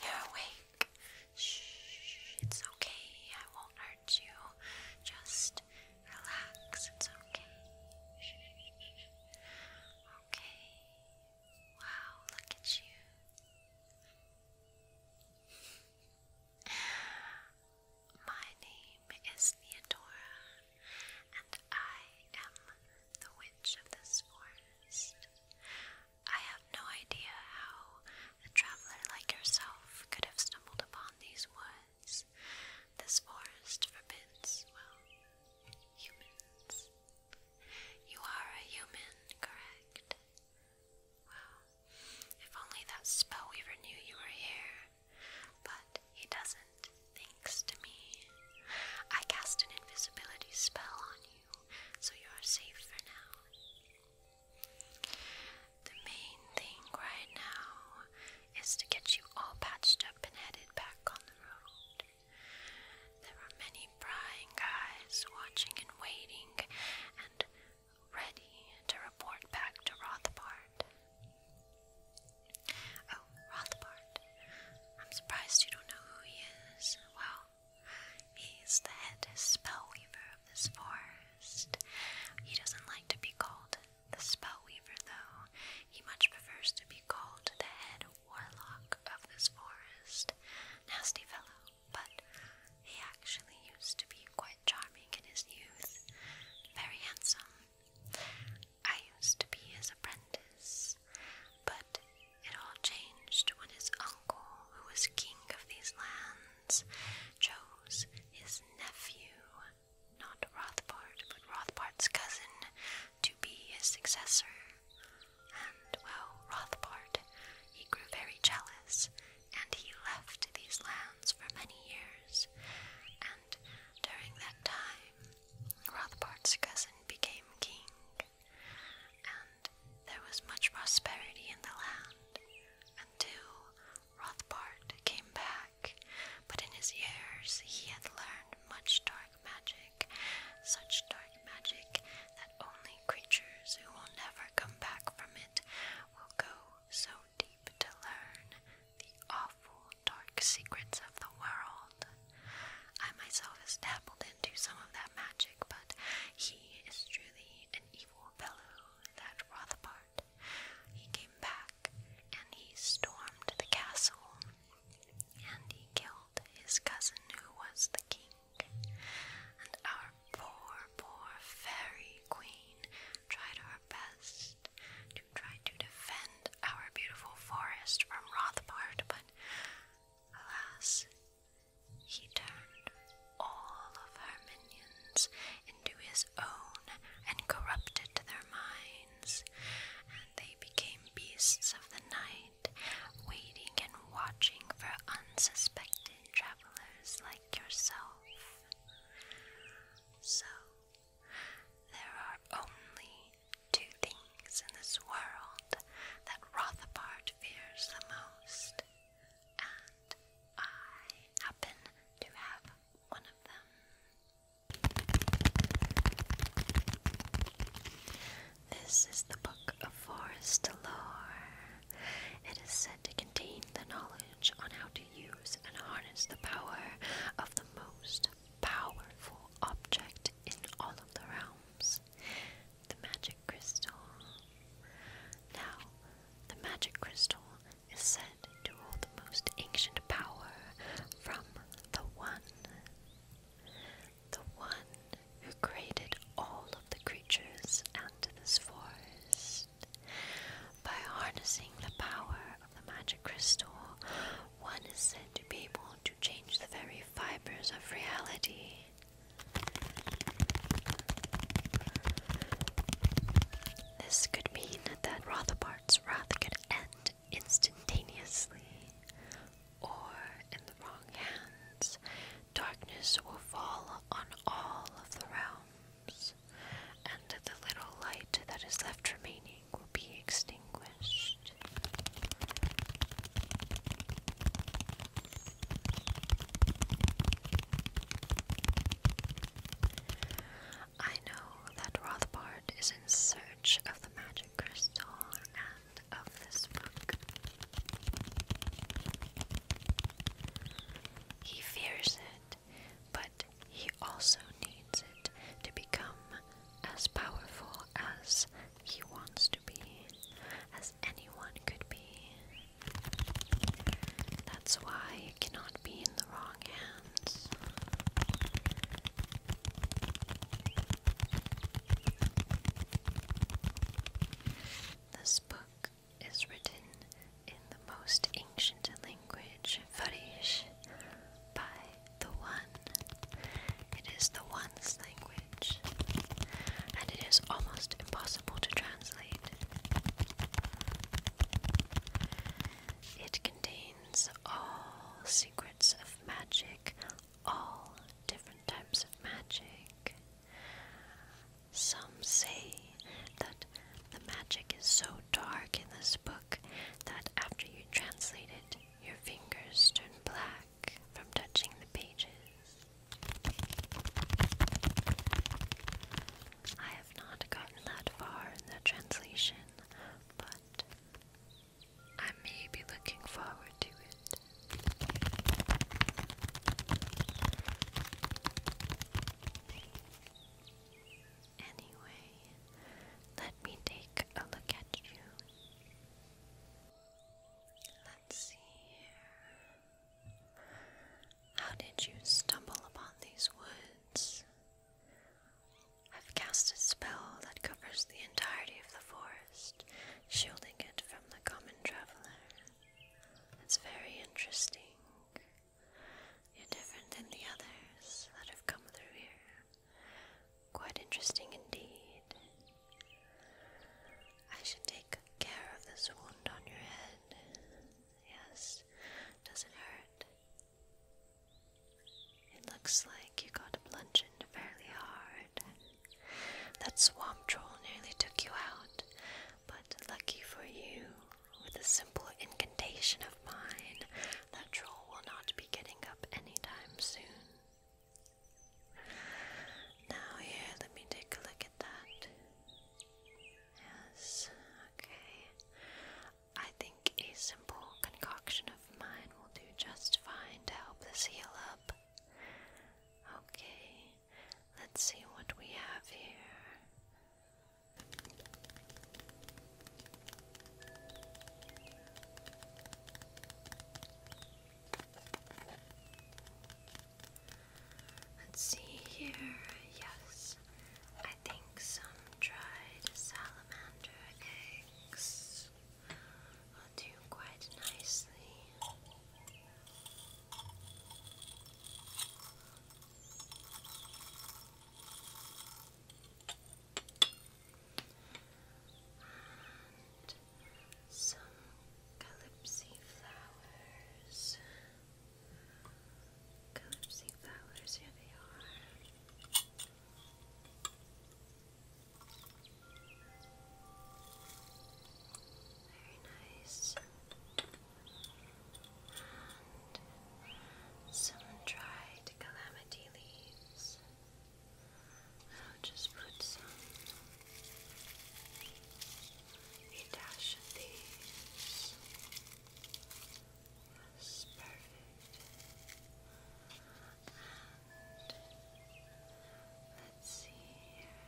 You're awake. Shh, it's okay. I won't hurt you. Just relax. It's okay. Okay. Wow, look at you. My name is Neodora, and I am the witch of this forest. I have no idea how a traveler like yourself could have stumbled upon these woods. This forest forbids, well, humans. You are a human, correct? Wow. If only that spellweaver knew you were here. But he doesn't, thanks to me. I cast an invisibility spell on you, so you are safe for now. The main thing right now is to get you all patched up and headed back on the road. There are many prying eyes watching and waiting, and ready to report back to Rothbard. Oh, Rothbard. I'm surprised you don't know who he is. Well, he's the head spellweaver of this forest. He doesn't like to be called the spellweaver, though. He much prefers to be called the head warlock of this forest. Nasty fellow but he actually used to be quite charming in his youth, very handsome. I used to be his apprentice, but it all changed when his uncle, who was king of these lands, chose his nephew, not Rothbard, but Rothbard's cousin, to be his successor. And, well, Rothbard, he grew very jealous and he left these lands for many years, and during that time, Rothbart's cousin became king, and there was much prosperity in the land until Rothbart came back, but in his years he had learned much dark magic, such dark magic that only creatures who will never come back from it will go so deep to learn the awful dark secrets of the world. I myself has dabbled into some of that magic, but he is truly an evil fellow, that Rothbard. He came back and he stormed the castle and he killed his cousin who was the king and our poor, poor fairy queen tried her best to try to defend our beautiful forest from Rothbart, but alas, he turned all of her minions into his own and corrupted their minds, and they became beasts of the night, waiting and watching for unsuspected travelers like yourself. So, there are only two things in this world that Rothbard fears the most, and I happen to have one of them. This is the Book of Forest Lore. It is said to contain the knowledge on how to use and harness the power of the most powerful object in all of the realms the magic crystal. Now, the magic crystal is said to hold the most ancient power from the One. The One who created all of the creatures and this forest. By harnessing the power of the magic crystal, one is said to be able to change the very fibers of reality. This could mean that Rothbart's wrath could end instantaneously, or in the wrong hands, Darkness will fall on all of the realms, and the little light that is left remaining will be extinguished. I know that Rothbard is in search of the magic crystal and of this book. He fears it, but he also needs it to become as powerful as he wants to be, as anyone could be. That's why it cannot be in the wrong hands. This book is written in the most ancient language, Farish, by the One. It is the One's language, and it is almost impossible to translate. It contains all secrets of magic, all different types of magic, some say that the magic is so dark in this book that after you translate it, your fingers turn black from touching the pages. I have not gotten that far in the translation, but I may be looking forward to it. Anyway, let me take a look at you. Let's see here. How did you stumble upon these woods? I've cast a spell that covers the entirety of the forest, shielding it from the common traveler. It's very interesting. You're different than the others that have come through here. Quite interesting indeed. I should take care of this wound on your head. Yes, does not hurt? It looks like you got plunged fairly hard. That swamp troll nearly took you out, but lucky for you, with a simple incantation of mine, that troll will not be getting up anytime soon. Now, here, let me take a look at that. Yes, okay. I think a simple concoction of mine will do just fine to help this heal up. Okay, Let's see what we have here. Let's see here. Yes, I think some dried salamander eggs will do quite nicely. And some calypso flowers. Calypso flowers, here they are. Very nice. some dried calamity leaves. I'll just put some a That's perfect. And let's see here.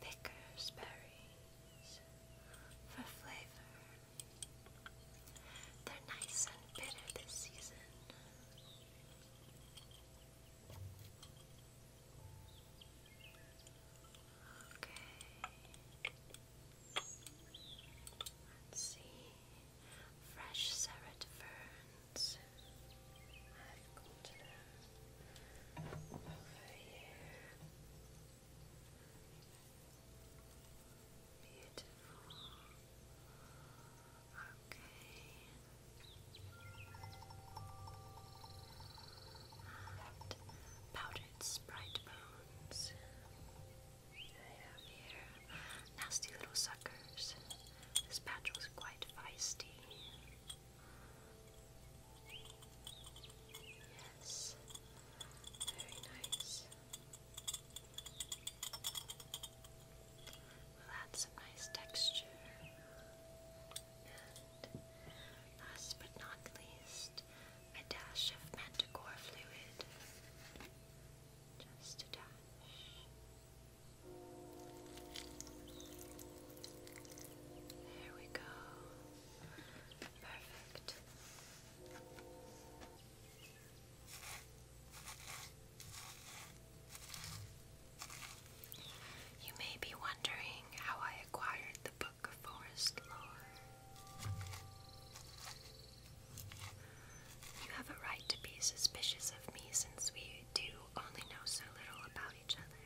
Pickers berries for flavor. They're nice and bitter this season. Okay. Let's see. Fresh serret fern and I've got them over here. Beautiful. Okay. And powdered sprite bones. nasty little suckers. This patch was quite feisty. Yes, very nice. We'll some nice texture. And last but not least, a dash of manticore fluid. Just a dash. There we go. Perfect. You may be wondering how I acquired the Book of Forest Lore. You have a right to be suspicious of me since we do only know so little about each other.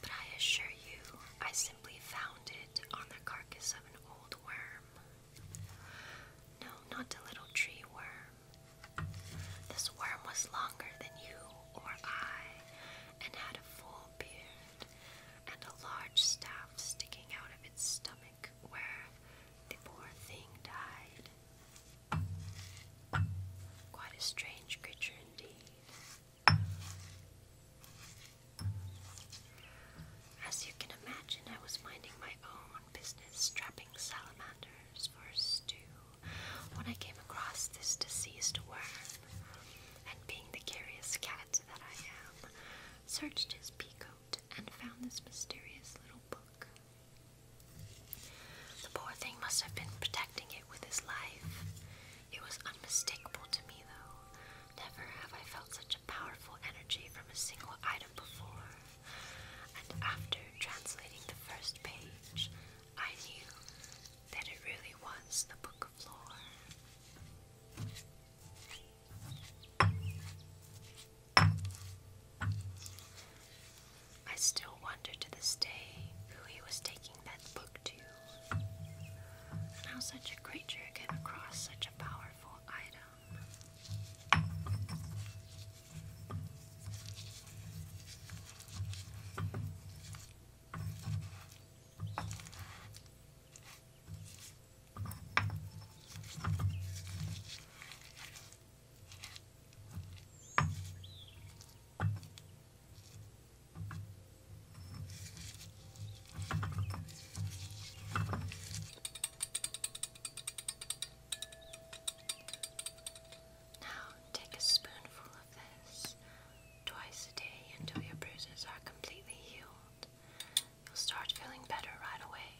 But I assure you, I simply found it on the carcass of an old worm. No, not a little tree worm. This worm was longer than you or I, and had a full beard and a large staff sticking out of its stomach where the poor thing died. Quite a strange creature indeed. As you can imagine, I was minding my own business, strapping salamanders for stew, when I came across this diseased worm, and being the curious cat that I am, searched his beak and found this mysterious little book. The poor thing must have been protecting it with his life. It was unmistakable to me, though. Never have I felt such a powerful energy from a single item before. And after translating the first page, I knew that it really was the Book of Lore. I still wonder to this day who he was taking that book to, and how such a creature came across such a powerful item. Now take a spoonful of this twice a day until your bruises are completely healed. You'll start feeling better right away.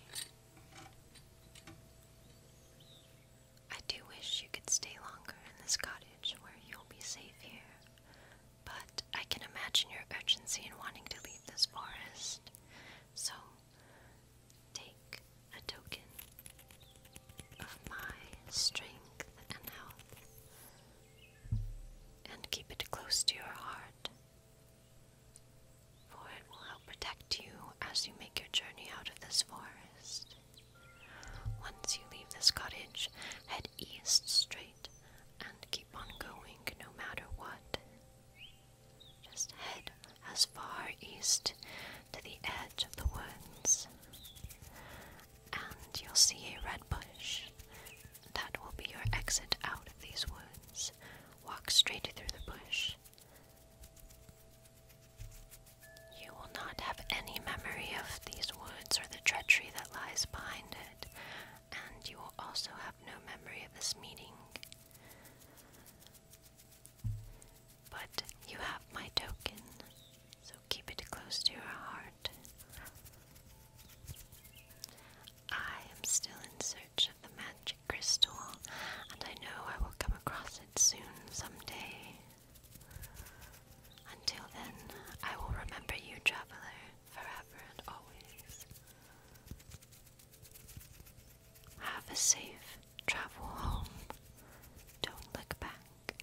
I do wish you could stay longer in this cottage where you'll be safe here, but I can imagine your urgency in wanting to leave this forest. So, take a token of my strength and health and keep it close to your heart for it will help protect you as you make your journey out of this forest. Once you leave this cottage, head east straight and keep on going no matter what. Just head as far east to the edge of the woods, and you'll see a red bush that will be your exit out of these woods. Walk straight through the bush. You will not have any memory of these woods or the treachery that lies behind it, and you will also have no memory of this meeting. But you have my token, so keep it close to your heart. I am still in search of the magic crystal, and I know I will come across it soon someday. Until then, I will remember you, traveler, forever and always. Have a safe travel home. Don't look back.